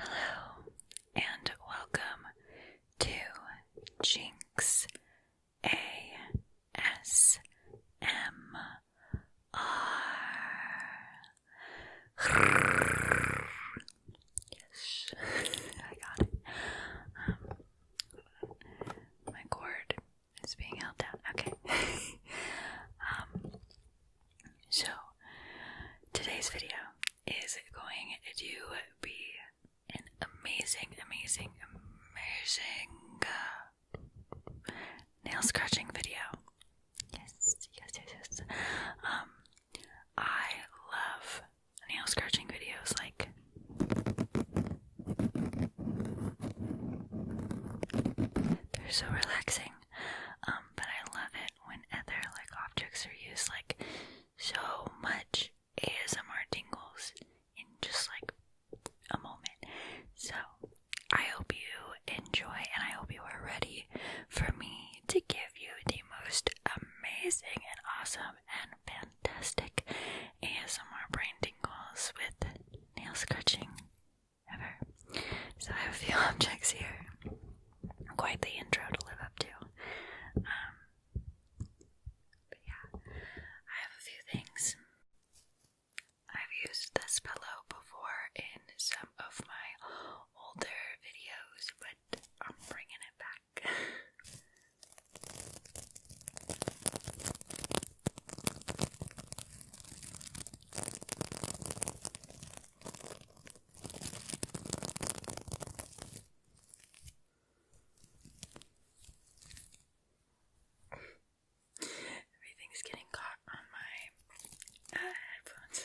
Hello, and welcome to Jinx ASMR. Yes, I got it. Um, my cord it's being held down. Okay. um, so, today's video is going to be an amazing, amazing, amazing uh, nail scratching video. Yes, yes, yes, yes. Um, I love nail scratching videos. Like, they're so relaxing. Um, but I love it when other like objects are used like so much ASMR tingles in just like a moment. So I hope you enjoy and I hope you are ready for me to give you the most amazing and awesome and fantastic fantastic ASMR brain tingles with nail scratching ever. So I have a few objects here. Quite the intro to live up to. Um, but yeah, I have a few things. I've used this pillow before in some of my older videos, but I'm bringing it back. Everything's getting caught on my uh, headphones.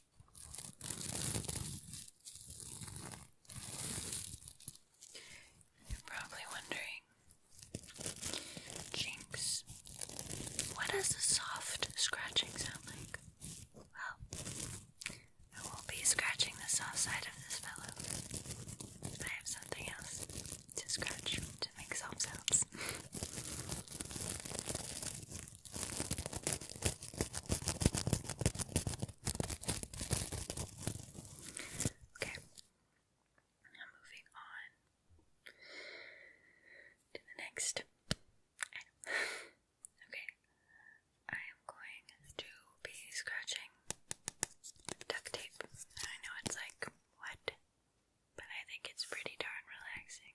You're probably wondering, Jinx, what does a soft scratching sound like? Well, I won't be scratching the soft side of this fellow. I have something else to scratch to make soft sounds. Okay. Now moving on to the next okay. I am going to be scratching duct tape. I know it's like what? But I think it's pretty darn relaxing.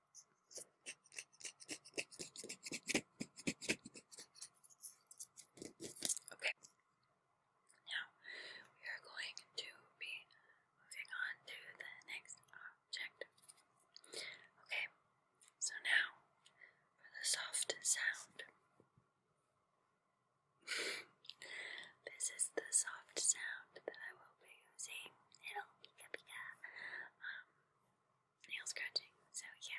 Okay. Now we are going to be moving on to the next object. Okay. So now for the soft sound. this is the soft sound that I will be using. It'll be um nail scratching, so yeah.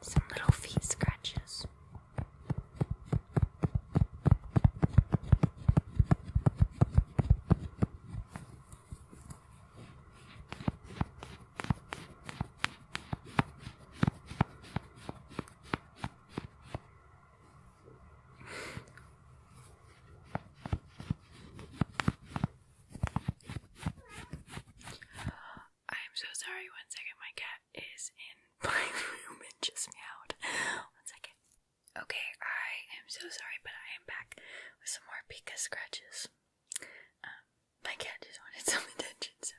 Some little feet scratches. I am so sorry. One second, my cat is in my room and just meowed. One second. Okay, I am so sorry, but I am back with some more Pika scratches. Um, my cat just wanted some attention, so.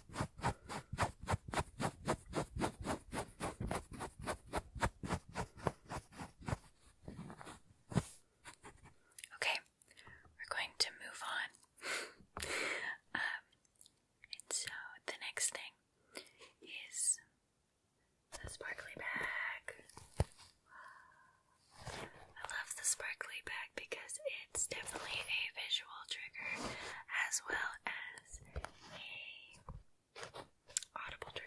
Okay, we're going to move on. Um, and so the next thing is the sparkly bag. I love the sparkly bag because it's definitely a visual trigger as well as a audible trigger,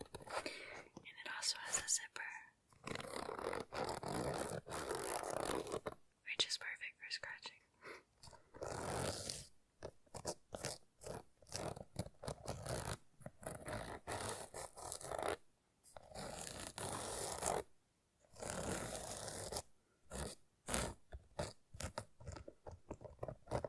And it also has a zipper, which is perfect for scratching.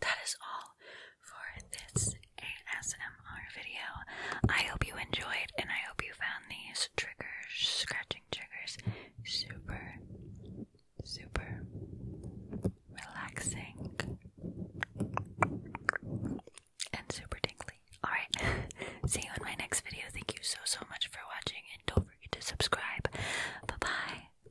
that is all for this ASMR video. I hope you enjoyed and I hope you found these triggers, scratching triggers, super, super relaxing and super tingly. Alright, see you in my next video. Thank you so, so much for watching and don't forget to subscribe. Bye bye.